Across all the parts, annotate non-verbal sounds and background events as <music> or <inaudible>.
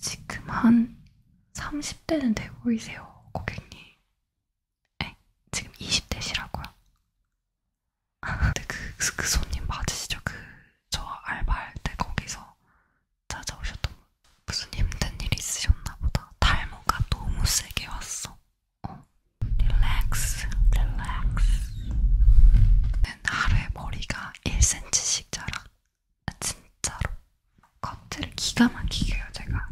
지금 한 30대는 돼 보이세요, 고객님. 에? 지금 20대시라고요? <laughs> 근데 그, 그, 그 손님 맞으시죠? 그, 저 알바할 때 거기서 찾아오셨던 분. 무슨 힘든 일 있으셨나 보다. 탈모가 너무 세게 왔어. 어. 릴렉스, 릴렉스. 는 하루에 머리가 1cm씩 자라. 아, 진짜로 커트를 기가 막히게 해요 제가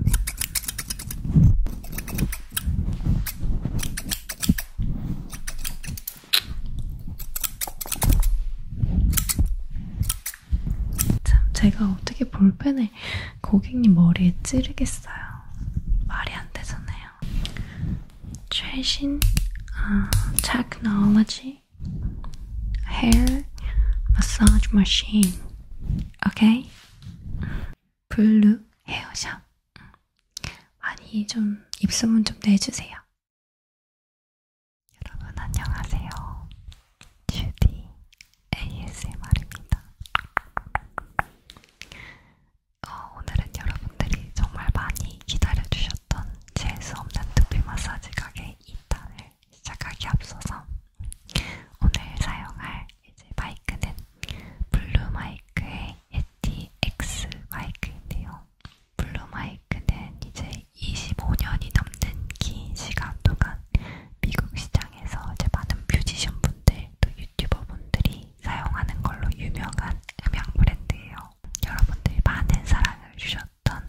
참 제가 어떻게 볼펜을 고객님 머리에 찌르겠어요 말이 안 되잖아요 최신 아, 테크놀로지 okay? Hair massage machine. Okay? 블루 헤어샵. 많이 좀 입소문 좀 내주세요. 여러분 안녕하세요. 주디 ASMR입니다. 어, 오늘은 여러분들이 정말 많이 기다려주셨던 재수없는 두피 마사지 가게 2탄을 시작하기 앞서서 오늘 사용할 이제 마이크는 블루 마이크의 예티 X 마이크인데요. 블루 마이크는 이제 25년이 넘는 긴 시간 동안 미국 시장에서 이제 많은 뮤지션 분들 또 유튜버 분들이 사용하는 걸로 유명한 음향 브랜드예요. 여러분들이 많은 사랑을 주셨. 보여드렸던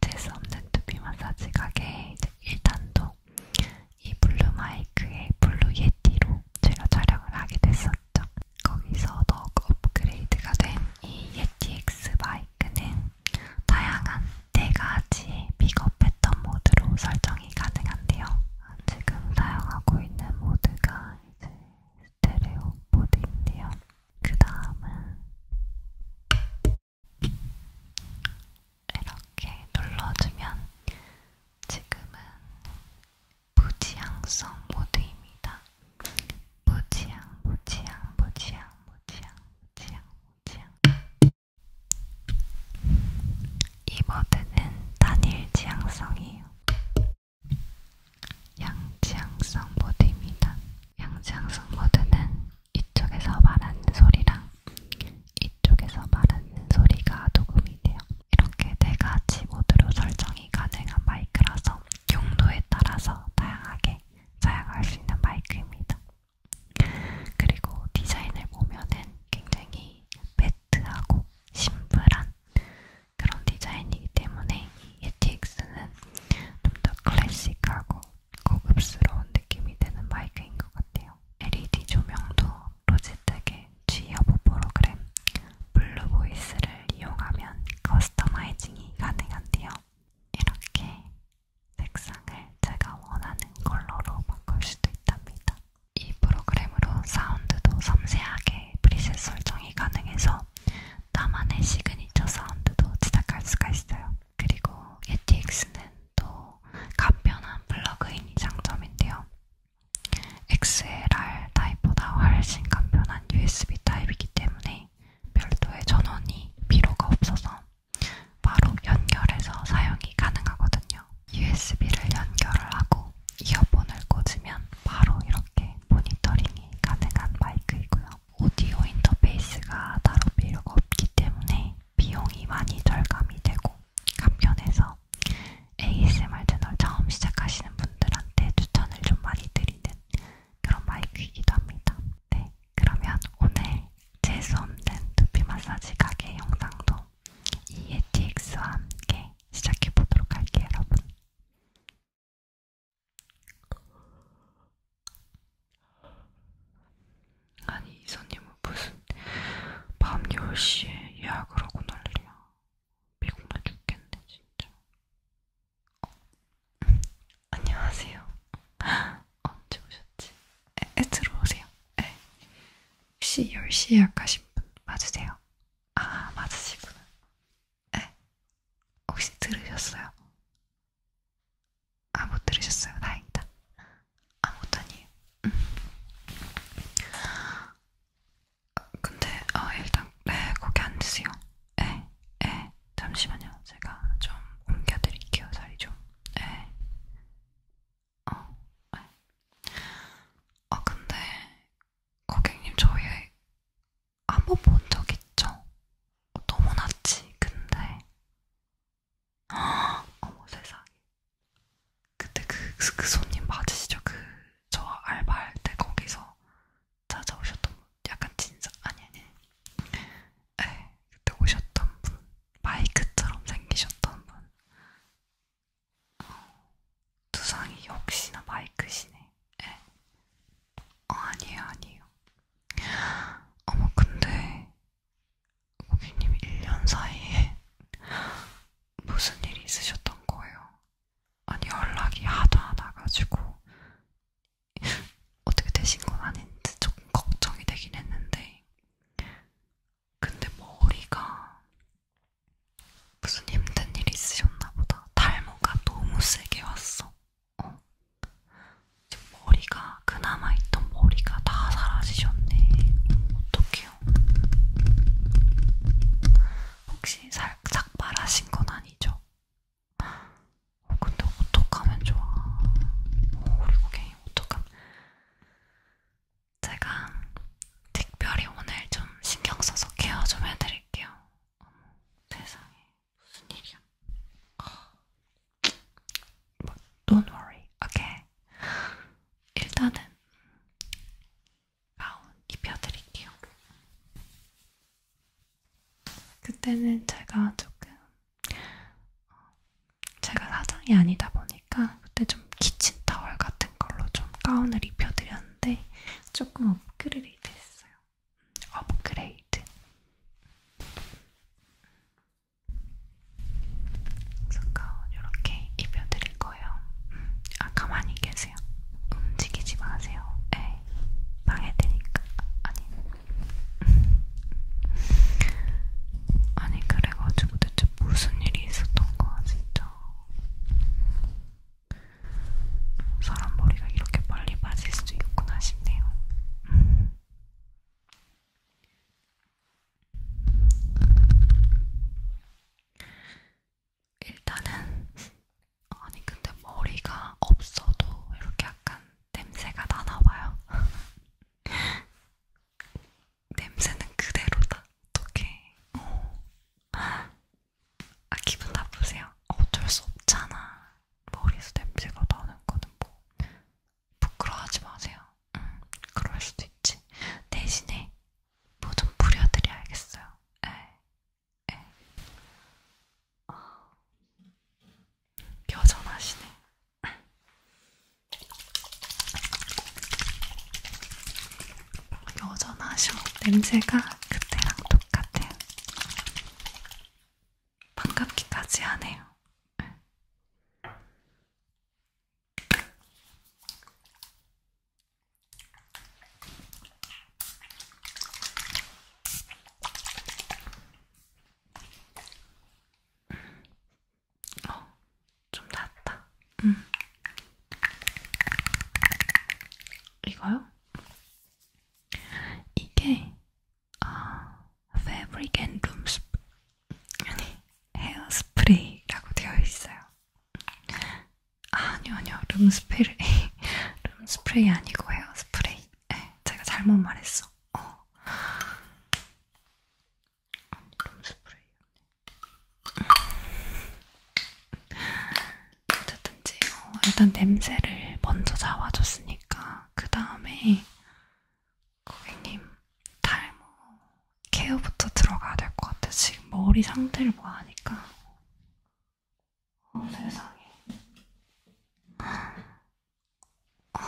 재수없는 두피 마사지 가게 이제 1탄도 이 블루 마이크의 블루 예티로 제가 촬영을 하게 됐었죠. 거기서 더 그 업그레이드가 된 이 예티 X 마이크는 다양한 4가지의 픽업 패턴 모드로 설정이 가능한데요. 지금 사용하고 있는 모드가 이제 스테레오 모드인데요. 그 다음은 이렇게 눌러주면 지금은 무지향성 모드입니다. 무지향, 무지향, 무지향, 무지향, 무지향, 무지향. 이 모드는 단일 지향성이에요. 양지향성 모드입니다. 양지양승모드는 이쪽에서 말하는 소리랑 이쪽에서 말하는 소리가 녹음이 돼요. 이렇게 네 가지 모드로 설정이 가능한 마이크라서 용도에 따라서 다양하게 사용할 수 있는 마이크입니다. 그리고 디자인을 보면은 굉장히 매트하고 심플한 그런 디자인이기 때문에 이 ETX는 좀 더 클래식하고 고급스러운 느낌이 드는 마이크인 것 같아요. LED 조명도 로지텍의 G여보 프로그램 블루 보이스를 이용하면 커스터마이징이 가능한데요. 이렇게 색상을 제가 원하는 컬러로 바꿀 수도 있답니다. 이 프로그램으로 사운드도 섬세하게 프리셋 설정이 가능해서 나만의 시그니처 사운드도 제작할 수가 있어요. 그리고 ETX는 또 간편한 플러그인이 장점인데요. XLR 타입보다 훨씬 간편한 USB 타입이기 때문에 별도의 전원이 필요가 없어서 바로 연결해서 사용이 가능하거든요. USB를 연결을 하고 이어폰을 꽂으면 바로 이렇게 모니터링이 가능한 마이크이고요. 오디오 인터페이스가 따로 필요가 없기 때문에 비용이 많이 절감이 되고 간편해서 ASMR 채널 처음 시작하시는 분들한테 추천을 좀 많이 드리는 그런 마이크이기도 합니다. 네, 그러면 오늘 재수없는 두피 마사지 가게 영상도 이 ETX와 함께 시작해보도록 할게요, 여러분. 아니 이 손님은 무슨 밤 10시에 예약을 하고 난리야. 미국만 죽겠네 진짜. 어. 안녕하세요. <laughs> 언제 오셨지? 에, 에, 들어오세요. 에. 혹시 10시 예약하신 분 맞으세요? 아 맞으시구나. 에. 혹시 들으셨어요? 아, 못 들으셨어요? 다행이다. 아, 못 아니에요. 음. 어, 근데, 어, 일단, 네, 거기 앉으세요. 네, 네, 잠시만요. 제가 좀 옮겨드릴게요, 자리 좀. 네. 어, 네. 어, 근데, 고객님, 저희 한번 본 적 있죠? 어, 너무 낫지, 근데. 아, <gasps> 어머 세상에. 그때 그, 그 손님 맞으시죠? 그, 저 알바할 때 거기서 찾아오셨던 분. 약간 진짜, 아니, 아니. 에 예, 그때 오셨던 분. 마이크처럼 생기셨던 분. 어, 두상이 역시나 마이크시네. 에. 예. 어, 아니에요, 아니에요. 어머 근데 고객님 1년 사이에 무슨 일이 있으셨던 거예요? 아니 연락이 하도 안 와가지고 어떻게 되신 건 아닌지 조금 걱정이 되긴 했는데 근데 머리가 무슨 힘든 일이 있으셨나 보다. 탈모가 너무 세게 왔어. 어. 지금 머리가 그나마 있던 머리가 다 사라지셨네. 어떡해요? 혹시 살짝 말하신 건 아니죠? 어, 근데 어떡하면 좋아? 어, 우리 고객님 어떡하면 제가 특별히 오늘 좀 신경 써서 케어 좀 해드릴게요. 어머, 세상에. 무슨 일이야? 어. 뭐, don't worry, okay? 일단은 가운 입혀드릴게요. 그때는 제가 조금 어, 제가 사장이 아니다 보니까 그때 좀 키친 타월 같은 걸로 좀 가운을 입혀드렸는데 조금 업그레이드 됐어요. 업그레이드. 스카운 이렇게 입혀드릴 거예요. 아 가만히 계세요. 움직이지 마세요. 에 예. 방해되니까 아니. 아니 그래가지고 대체 무슨 일이 있었던 거야 진짜. 사람 머리가 이렇게 빨리 빠질 수도 있구나 싶네요. 일단은 아니 근데 머리가 없어도 이렇게 약간 냄새가 나나봐요. <laughs> 냄새는 그대로다. 어떡해. 어. 아 기분 나쁘세요? 어쩔 수 없잖아. 머리에서 냄새가 나는 거는 뭐 부끄러워하지 마세요. 음, 그럴 수도 있지. 대신에 뭐 좀 부려드려야겠어요. 에, 예, 에. 예. 어, 여전하시네. 여전하셔. 냄새가 그때랑 똑같아요. 반갑기까지 하네요. 어, 좀 낫다. 음. 이거요? 이게 아, Fabric and Room 아니, 헤어스프레이라고 되어 있어요. 아, 아니요, 아니요. 룸스프레이. 룸스프레이 아니고 헤어스프레이. 네, 제가 잘못 말했어. 어. 아니, 룸스프레이. 어쨌든지, 어, 일단 냄새를 먼저 잡아줬으니까 그 다음에 고객님 탈모 케어부터 들어가야 될 것 같아. 지금 머리 상태를 뭐하니까. 어 세상에. 어,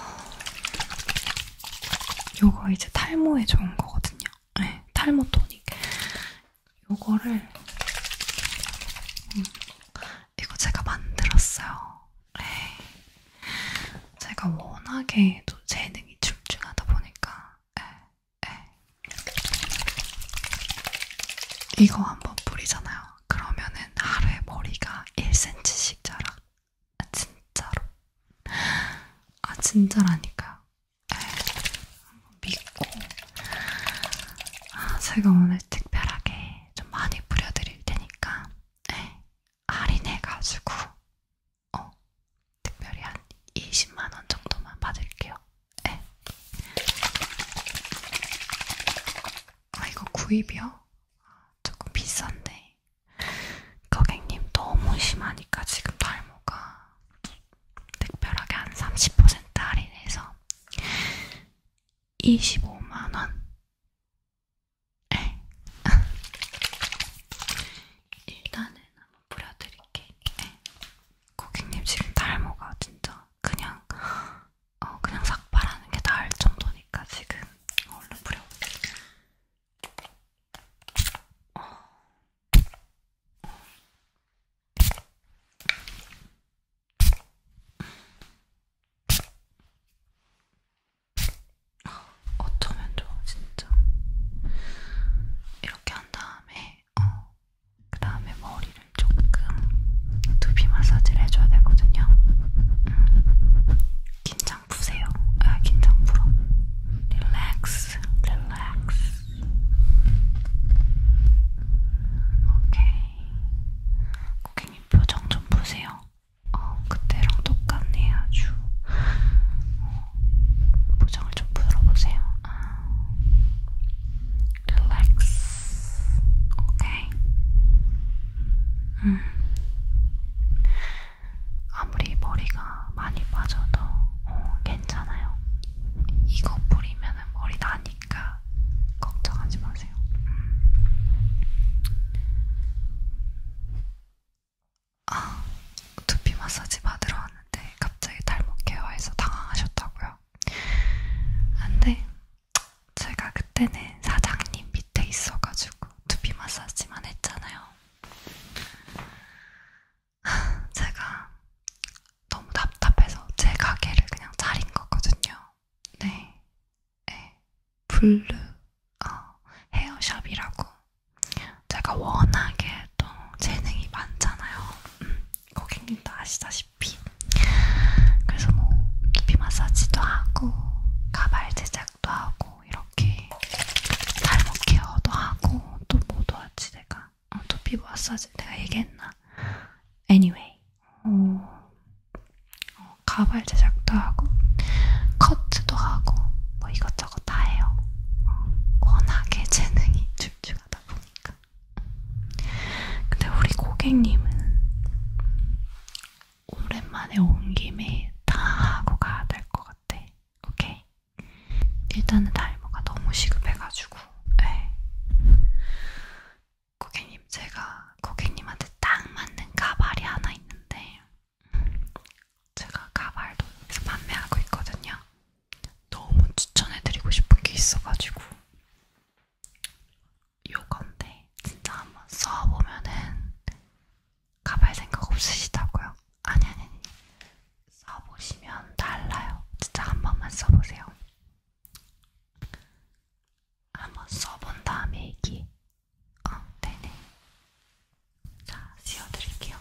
요거 이제 탈모에 좋은 거거든요. 네, 탈모 토닉. 요거를 음, 이거 제가 만들었어요. 네. 제가 워낙에 또 재능이 출중하다 보니까 네. 네. 이거 한번 뿌리잖아요. 그러면은 하루에 머리가 1cm씩 자라. 아, 진짜로. 아 진짜라니까요. 네. 예. 믿고 아, 제가 오늘 특별하게 네, 좀 많이 뿌려드릴 테니까 네, 할인해가지고 어, 특별히 한 20만원 정도만 받을게요. 네. 아, 이거 구입이요? 조금 비싼데 고객님 너무 심하니까 지금 탈모가 특별하게 한 30% 할인해서 25만원. 네. 예. <laughs> 일단은 한번 뿌려드릴게. 네. 고객님 지금 탈모가 진짜 그냥, 어, 그냥 삭발하는 게 나을 정도니까 지금 얼른 뿌려볼게. 어. 어. 어쩌면 좋아 진짜 이렇게 한 다음에 어, 그 다음에 머리를 조금 두피 마사지를 해줘야 되거든요 음. 긴장 푸세요 아 긴장 풀어 릴렉스 릴렉스 오케이 고객님 선생님 표정 좀 보세요. 어, 그때랑 똑같네 아주. 어, 표정을 좀 풀어보세요. 아. Relax. 오케이. 음. 아무리 머리가 많이 빠져도 어, 괜찮아요. 이거 뿌리면 머리 나니까. 거니까 걱정하지 마세요. 아, 두피 마사지 받으러 왔는데 갑자기 탈모 케어해서 당황하셨다고요? 안돼. 제가 그때는 사장님 밑에 있어가지고 두피 마사지만 했잖아요. <laughs> 제가 너무 답답해서 제 가게를 그냥 차린 거거든요. 네, 네, 블루 어, 헤어샵이라고 제가 워낙에 또 재능이 많잖아요. 음, 고객님도 아시다시피 그래서 뭐 두피 마사지도 하고 가발 제작도 하고 이렇게 탈모 케어도 하고 또 뭐도 하지 내가 어, 두피 마사지 내가 얘기했나? Anyway 어, 어, 가발 제작도 하고 커트도 하고 뭐 이것저것 다 해요. 어, 워낙에 재능이 출중하다 보니까. 근데 우리 고객님은 오랜만에 온 김에 다 하고 가야 될 것 같아. 오케이? 일단은 달모가 너무 시급해가지고, 네. 고객님 제가 고객님한테 딱 맞는 가발이 하나 있는데 제가 가발도 판매하고 있거든요. 너무 추천해드리고 싶은 게 있어가지고 요건데 진짜 한번 써보면은 가발 생각 없으시다고요? 아니 아니 아니 써보시면 달라요. 진짜 한 번만 써보세요. 한번 써본 다음에 얘기. 어, 네네. 자, 씌워드릴게요.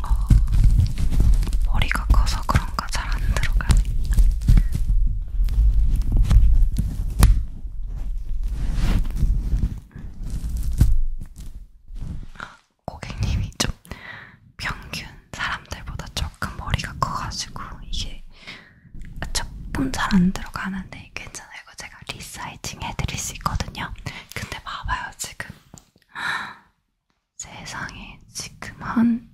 어, 머리가 커서 그런가 잘 안 들어가. 고객님이 좀 평균 사람들보다 조금 머리가 커가지고 이게 조금 잘안 들어가는데 괜찮아요. 이거 제가 리사이징 해드릴 수 있거든요. 근데 봐봐요 지금 세상에 지금 한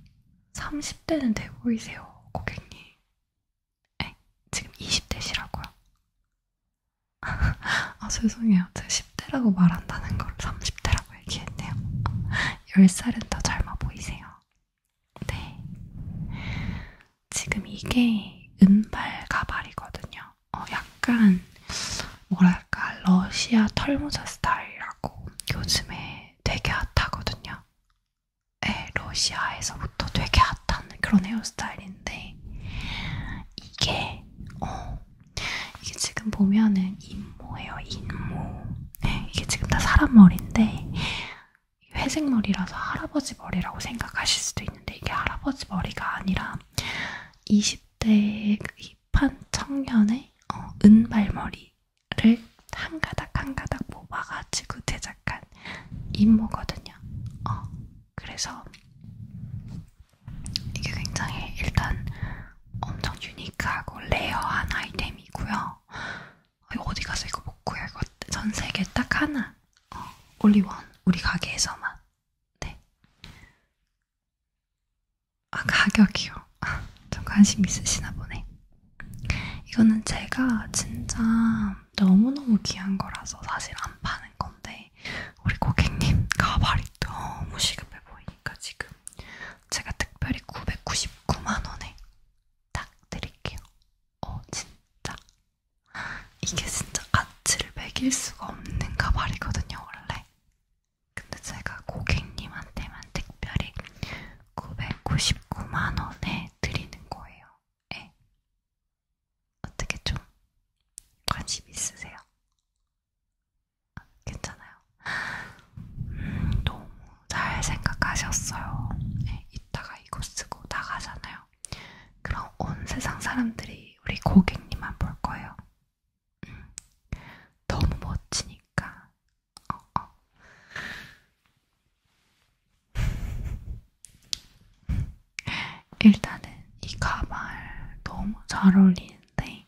30대는 돼 보이세요 고객님. 에? 지금 20대시라고요. <laughs> 아 죄송해요. 제가 10대라고 말한다는 걸 30대라고 얘기했네요. 10살은 <laughs> 더 젊어 보이세요. 네. 지금 이게 은발 가발이거든요. 어, 약간 뭐랄까 러시아 털모자 스타일이라고 요즘에 되게 핫하거든요. 네, 러시아에서부터 되게 핫한 그런 헤어스타일인 되는데 이게 어 이게 지금 보면은 인모예요 인모 네, 이게 지금 다 사람 머리인데 회색 머리라서 할아버지 머리라고 생각하실 수도 있는데 이게 할아버지 머리가 아니라 20대 힙한 청년의 어, 은발머리를 한 가닥 한 가닥 뽑아가지고 제작한 인모거든요. 어, 그래서 이게 굉장히 일단 엄청 유니크하고 레어한 아이템이고요. 어, 어디 가서 이거 못 구해요. 전 세계 딱 하나. 어, 올리원 우리 가게에서만. 네. 아 가격이요. 아, <laughs> 좀 관심 있으시나 보네. 이거는 제가 진짜 너무너무 귀한 거라서 사실 안 파는 건데 우리 고객님 가발이 너무 시급해 보이니까 지금 제가 특별히 999만원에 딱 드릴게요. 어 진짜 이게 진짜 가치를 매길 수가 없는 가발이거든요 원래. 근데 제가 고객님한테만 특별히 999만원에 드리는 거예요. 예. 어떻게 좀 관심 있으세요? 아, 괜찮아요. 음, 너무 잘 생각하셨어요. 네, 이따가 이거 쓰고 나가잖아요. 그럼 온 세상 사람들이 우리 고객님만 볼 거예요. 음, 너무 멋지니까. 어, 어. 일단은 이 가발 너무 잘 어울리는데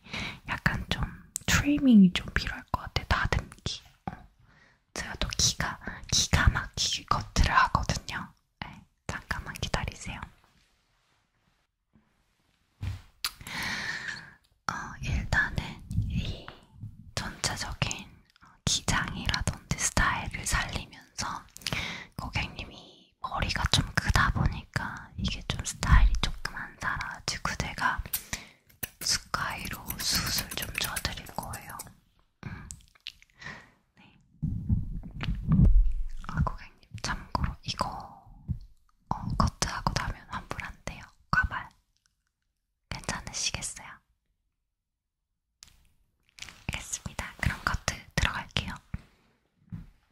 약간 좀 트리밍이 좀 필요할 것 같아. 다듬기. 어. 제가 또 기가 기가 막히게 커트를 하거든요. 네, 잠깐만 기다리세요. 어, 일단은 이 전체적인 기장이라든지 스타일을 살리면서 고객님이 이 머리가 좀 크다 보니까 이게 좀 스타일이 조금 안 살아가지고 내가 숟가위로 수술 좀 줘드릴 거예요. 음. 네. 아 고객님 참고로 이거 어, 커트하고 나면 환불 안 돼요. 과발 괜찮으시겠어요? 알겠습니다. 그럼 커트 들어갈게요.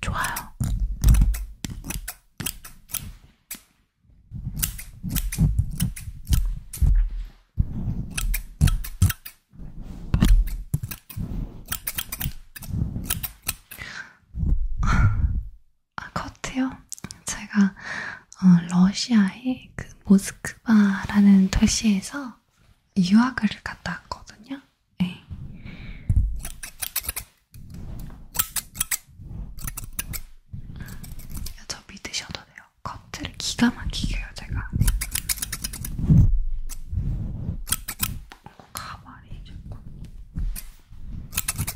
좋아요. 아, 커트요? 제가 어, 러시아의 그 모스크바라는 도시에서 유학을 갔다 왔거든요. 네. 저 믿으셔도 돼요. 커트를 기가 막히게 해요, 제가. 가발이 자꾸.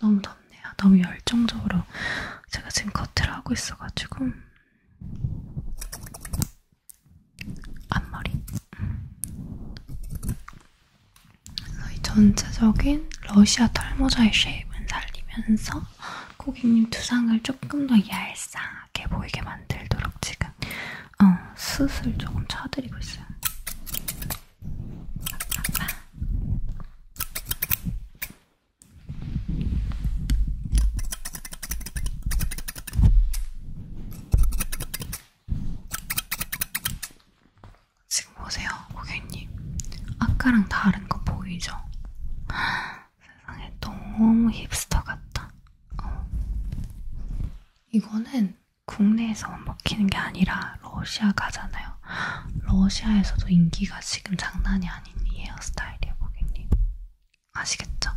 너무 덥네요. 너무 열정적으로 제가 지금 커트를 하고 있어가지고 앞머리. 그래서 이 전체적인 러시아 털모자의 쉐입은 살리면서 고객님 두상을 조금 더 얄쌍하게 보이게 만들도록 지금 어, 숯을 조금 쳐드리고 있어요. 지금 보세요, 고객님. 아까랑 다른 거 보이죠? 세상에 너무 힙스터 같다. 어. 이거는 국내에서 먹히는 게 아니라 러시아 가잖아요. 러시아에서도 인기가 지금 장난이 아닌 이 헤어스타일이에요, 고객님. 아시겠죠?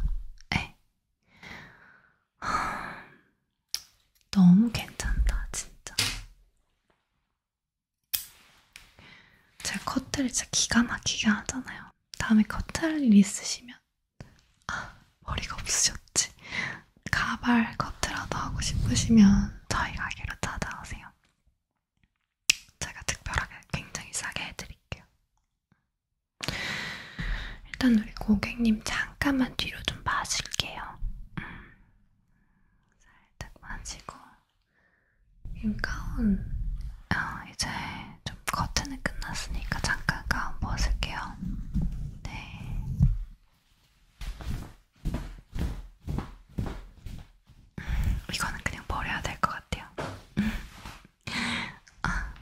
네. <sighs> 너무 괜찮다, 진짜. 제가 커트를 진짜 기가 막히게 하잖아요. 다음에 커트 할일 있으시면 아, 머리가 없으셨지. 가발 커트라도 하고 싶으시면 저희 가게로 찾아오세요. 제가 특별하게 굉장히 싸게 해드릴게요. 일단 우리 고객님 잠깐만 뒤로 좀 마실게요. 음. 살짝 마시고 가운 어, 이제 좀 커트는 끝났으니까 잠깐 가운 벗을게요. 네. 이거는 그냥 버려야 될 것 같아요. 음. 아,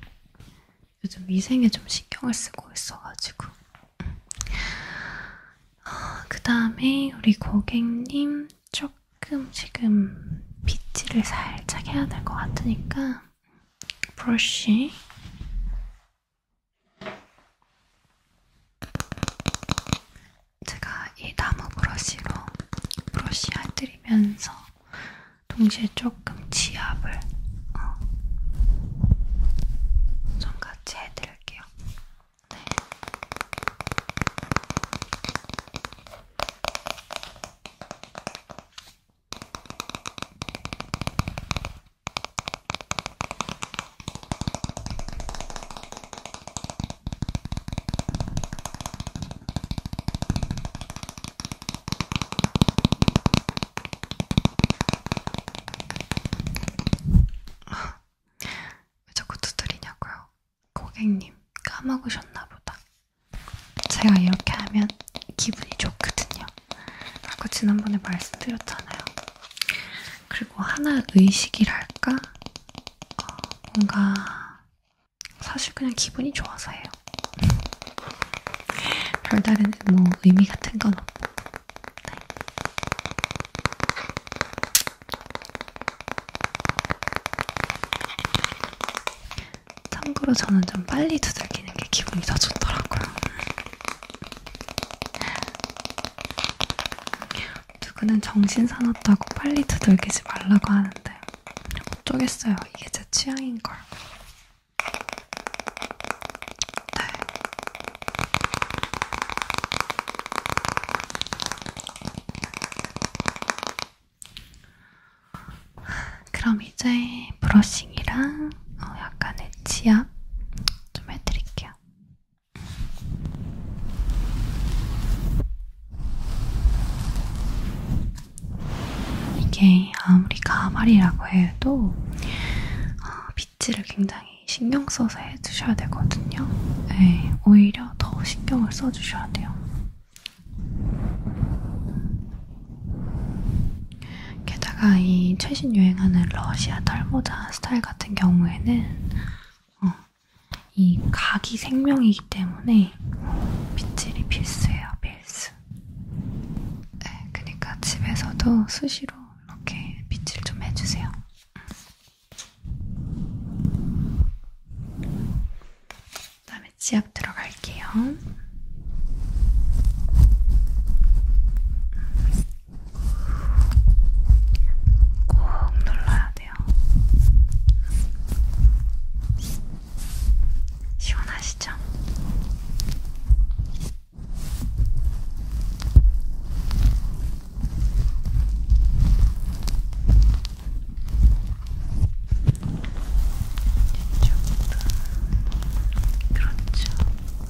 요즘 위생에 좀 신경을 쓰고 있어가지고. 음. 아, 그 다음에 우리 고객님 조금 지금 빗질을 살짝 해야 될 것 같으니까 브러쉬 제가 이 나무 브러쉬로 브러쉬 해드리면서 동시에 조금 지압을 어, 좀 같이 해드릴게요. 네. <laughs> 왜 자꾸 두드리냐고요? 고객님 까먹으셨나 보다. 제가 이렇게 하면 기분이 좋거든요. 아까 지난번에 말씀드렸잖아요. 그리고 하나 의식이랄까? 어, 뭔가 사실 그냥 기분이 좋아서 해요. <laughs> 별다른 뭐 의미 같은 건 없고. 네. 참고로 저는 좀 빨리 두들기는 게 기분이 더 좋더라고요. 누구는 정신 사납다고 빨리 두들기지 말라고 하는데 어쩌겠어요. 이게 제 취향인걸. 네. 그럼 이제 브러싱이랑 어, 약간의 치약 좀 해드릴게요. 이게 아무리 가발이라고 해도 어, 빗질을 굉장히 신경 써서 해주셔야 되거든요. 네, 오히려 더 신경을 써주셔야 돼요. 게다가 이 최신 유행하는 러시아 털모자 스타일 같은 경우에는 어, 이 각이 생명이기 때문에 빗질이 필수예요, 필수. 네, 그러니까 집에서도 수시로 이렇게 빗질 좀 해주세요. 그다음에 음. 치약 들어갈게요. 꼭 눌러야 돼요. 시원하시죠? 이쪽도 그렇죠.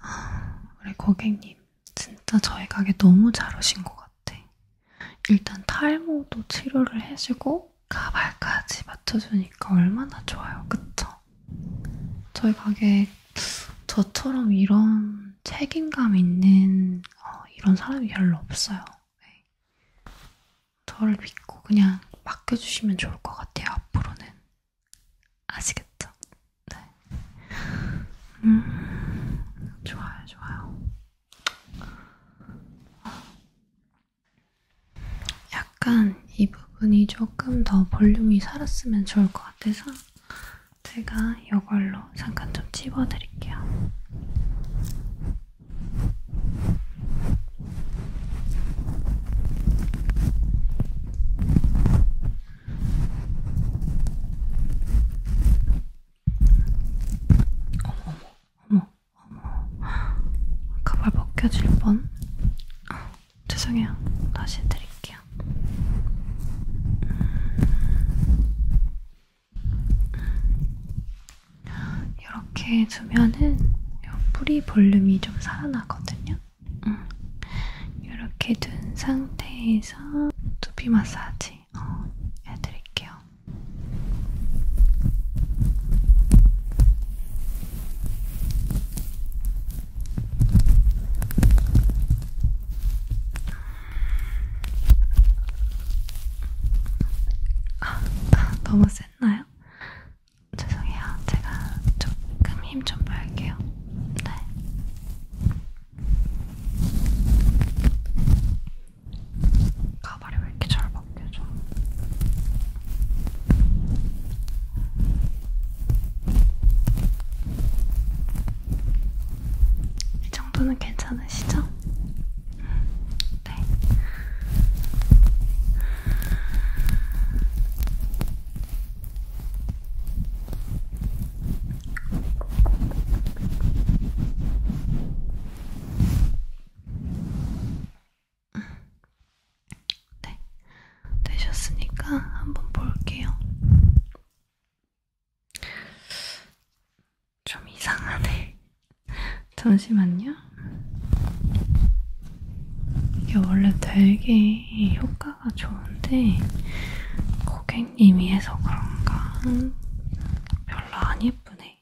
아, 우리 고객님, 진짜 저희 가게 너무 잘 오신 것 같아. 일단 탈모도 치료를 해주고 가발까지 맞춰주니까 얼마나 좋아요, 그쵸? 저희 가게 저처럼 이런 책임감 있는 어, 이런 사람이 별로 없어요. 네. 저를 믿고 그냥 맡겨주시면 좋을 것 같아요. 앞으로는 아시겠죠? 네. 음, 좋아요, 좋아요. 약간 이 부분이 조금 더 볼륨이 살았으면 좋을 것 같아서 제가 이걸로 잠깐 좀 집어드릴게요. 어머, 어머, 어머. 가발 벗겨질 뻔. 아, 죄송해요. 다시 해드릴게요. 이렇게 두면은 뿌리 볼륨이 좀 살아나거든요. 음. 이렇게 둔 상태에서 두피 마사지 어, 해드릴게요. 아, 너무 세. 쎘나요? 죄송해요. 제가 조금 힘좀 빠할게요. 네. 가발이 왜 이렇게 잘 벗겨져? 이 정도는 괜찮으시죠? 네. 네. 되셨으니까 한번 볼게요. 좀 이상하네. 잠시만요. 이게 원래 되게 효과가 좋은데 고객님이 해서 그런가 별로 안 예쁘네.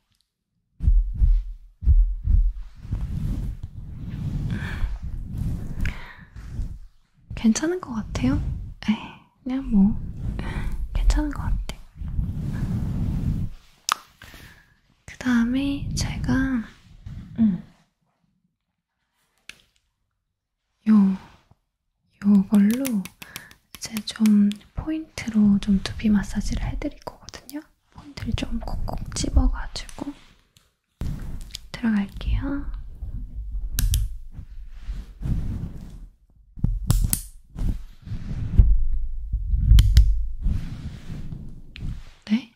괜찮은 것 같아요? 에이, 그냥 뭐 괜찮은 것 같아. 그 다음에 제가 음. 요 요걸로 이제 좀 포인트로 좀 두피 마사지를 해드릴 거거든요. 포인트를 좀 콕콕 집어가지고 들어갈게요. 네?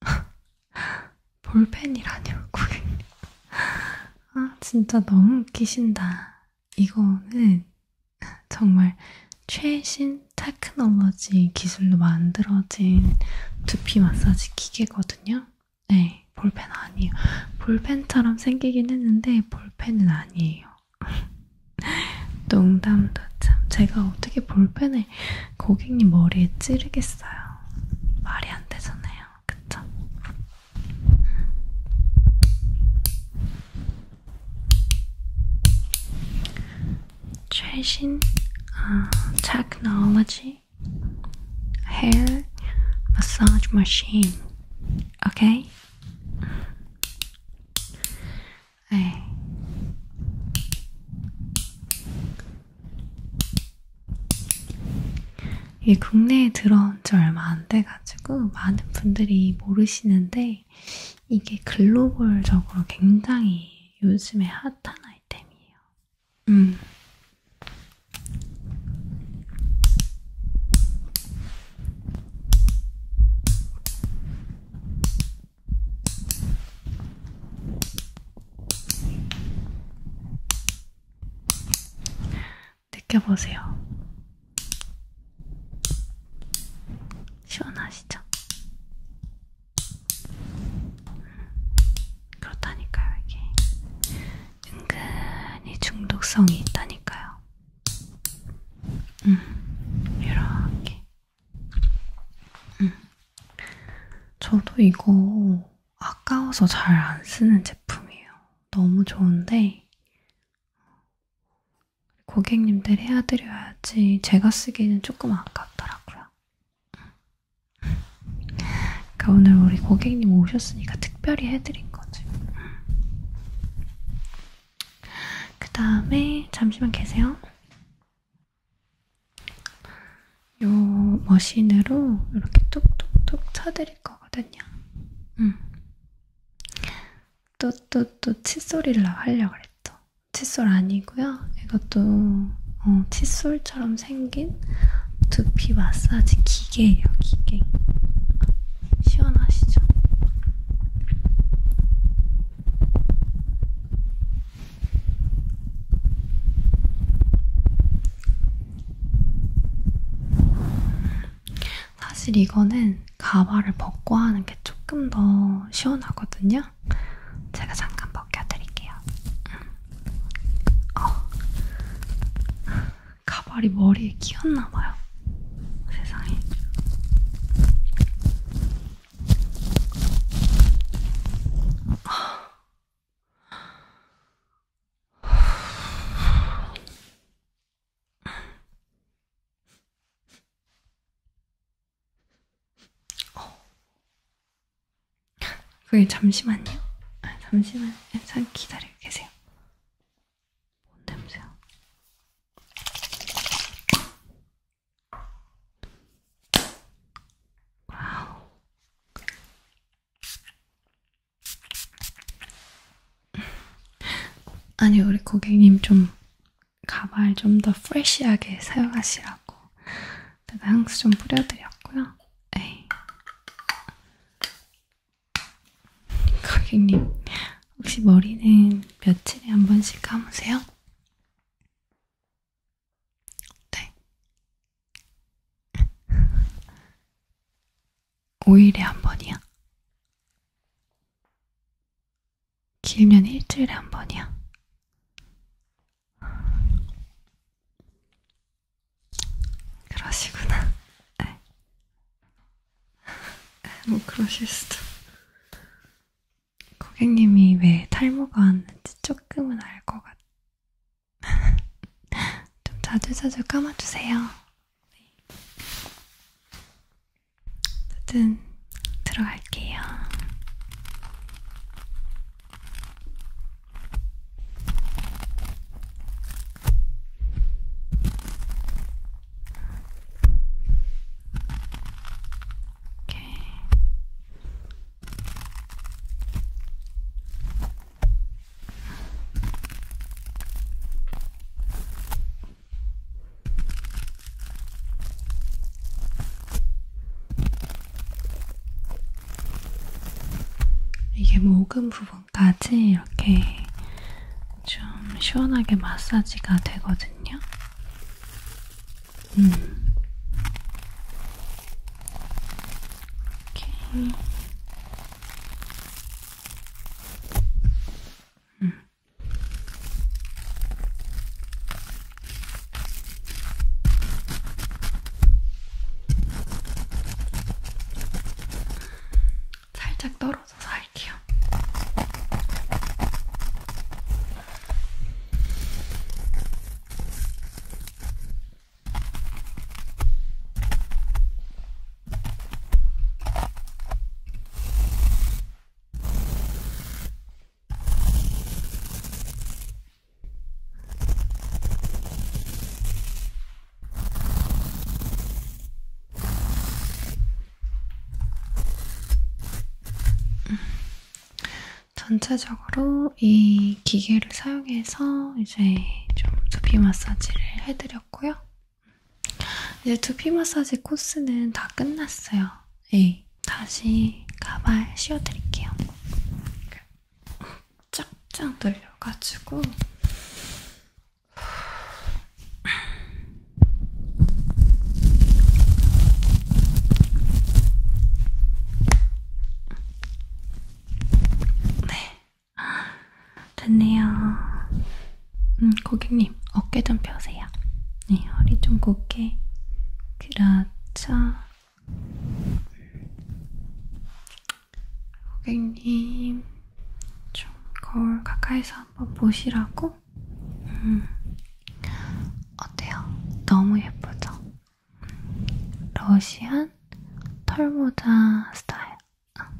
<laughs> 볼펜이라뇨, 고객님. 아, 진짜 너무 웃기신다. 이거는 정말 최신 테크놀로지 기술로 만들어진 두피 마사지 기계거든요. 네, 볼펜 아니에요. 볼펜처럼 생기긴 했는데 볼펜은 아니에요. <laughs> 농담도 참 제가 어떻게 볼펜을 고객님 머리에 찌르겠어요. 말이 안 되잖아요. 그쵸? 최신 아, 테크놀로지 헤어 마사지 머신 오케이? 네. 이게 국내에 들어온 지 얼마 안 돼가지고 많은 분들이 모르시는데 이게 글로벌적으로 굉장히 요즘에 핫한 아이템이에요. 음. 느껴보세요. 시원하시죠? 음, 그렇다니까요, 이게. 은근히 중독성이 있다니까요. 음, 이렇게. 음. 저도 이거 아까워서 잘 안 쓰는 제품이에요. 너무 좋은데 고객님들 해드려야지 제가 쓰기에는 조금 아깝더라고요. 그러니까 오늘 우리 고객님 오셨으니까 특별히 해드린 거지. 그 다음에 잠시만 계세요. 요 머신으로 이렇게 뚝뚝뚝 쳐드릴 거거든요. 음. 또 또 또 칫솔이라 하려고 그랬죠. 칫솔 아니고요. 이것도 어, 칫솔처럼 생긴 두피 마사지 기계예요. 기계. 시원하시죠? 사실 이거는 가발을 벗고 하는 게 조금 더 시원하거든요. 제가 잠깐 벗겨드릴게요. 음. 어. 가발이 머리에 끼었나봐요. 세상에. 그게 잠시만요. 아, 잠시만, 잠깐 기다려 계세요. 뭔 냄새야? 와우. 아니 우리 고객님 좀 가발 좀 더 프레시하게 사용하시라고 제가 향수 좀 뿌려드렸고요. 에이. 고객님 혹시 머리는 며칠에 한 번씩 감으세요? 네. 5일에 <laughs> 한 번이요? 길면 일주일에 한 번이요? 그러시구나. 네. <laughs> 뭐 그러실 수도. 고객님이 왜 탈모가 왔는지 조금은 알 것 같아. <laughs> 좀 자주자주 감아주세요. 네. 어쨌든 들어갈게요. 이렇게 이게 목음 뭐 부분까지 이렇게 좀 시원하게 마사지가 되거든요. 음. 오케이. 음. 살짝 떨어 넣어서 할게요. 전체적으로 이 기계를 사용해서 이제 좀 두피 마사지를 해드렸고요. 이제 두피 마사지 코스는 다 끝났어요. 네. 다시 가발 씌워드릴게요. 쫙쫙 늘려가지고 네, 됐네요. 음, 고객님, 어깨 좀 펴세요. 네, 허리 좀 곧게. 그렇죠. 고객님, 좀 거울 가까이서 한번 보시라고 그리고 음, 어때요? 너무 예쁘죠? 러시안 털모자 스타일. 아.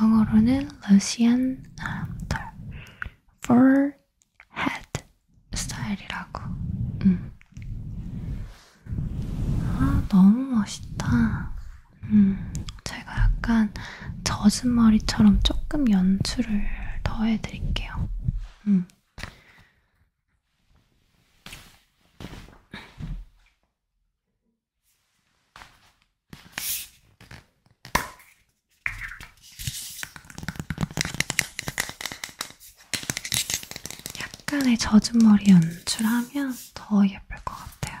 영어로는 러시안 아, 털. for head 스타일이라고. 음. 아, 너무 멋있다. 음, 제가 약간 젖은 머리처럼 조금 연출을 더해드릴게요. 음. 약간의 젖은 머리 연출하면 더 예쁠 것 같아요.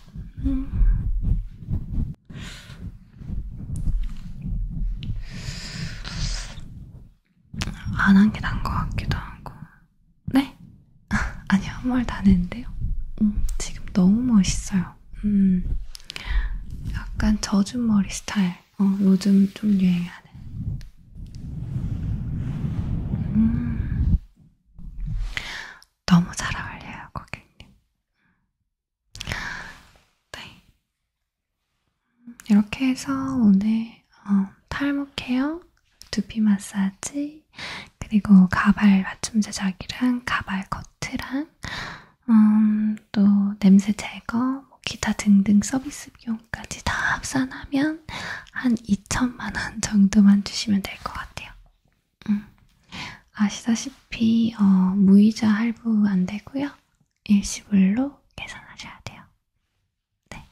안한게 나은 것 같기도 하고. 네? <laughs> 아니요, 아무 말도 안 했는데요. 음, 지금 너무 멋있어요. 음, 약간 젖은 머리 스타일. 어, 요즘 좀 유행하는. 음, 너무 잘 어울려요, 고객님. 네. 이렇게 해서 오늘 어, 탈모 케어, 두피 마사지, 그리고 가발 맞춤 제작이랑 가발 커트랑 음, 또 냄새 제거, 뭐 기타 등등 서비스 비용까지 다 합산하면 한 2천만 원 정도만 주시면 될 것 같아요. 아시다시피 어, 무이자 할부 안 되고요. 일시불로 계산하셔야 돼요. 네.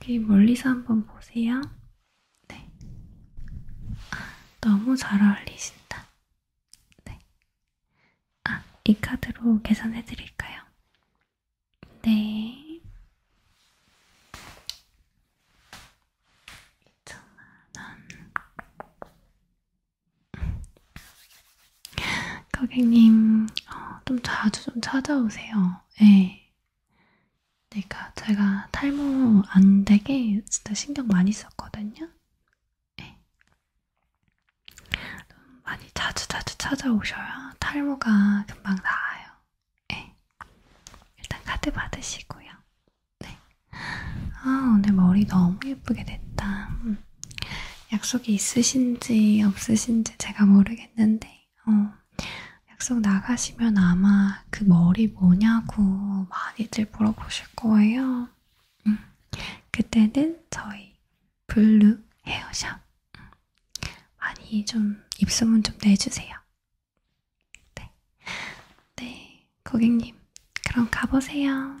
여기 멀리서 한번 보세요. 네. 너무 잘 어울리신다. 네. 아, 이 카드로 계산해 드릴까요? 네. 2천만원. 고객님, 어, 좀 자주 좀 찾아오세요. 네. 내가, 제가 탈모 안 되게 진짜 신경 많이 썼거든요. 네. 많이 자주 자주 찾아오셔야 탈모가 금방 나아요. 네. 일단 카드 받으시고요. 네. 아, 오늘 머리 너무 예쁘게 됐다. 음. 약속이 있으신지 없으신지 제가 모르겠는데, 어, 약속 나가시면 아마 그 머리 뭐냐고 많이들 물어보실 거예요. 음. 그때는 저희 블루 헤어샵 많이 좀 입소문 좀 내주세요. 네. 네, 고객님. 그럼 가보세요.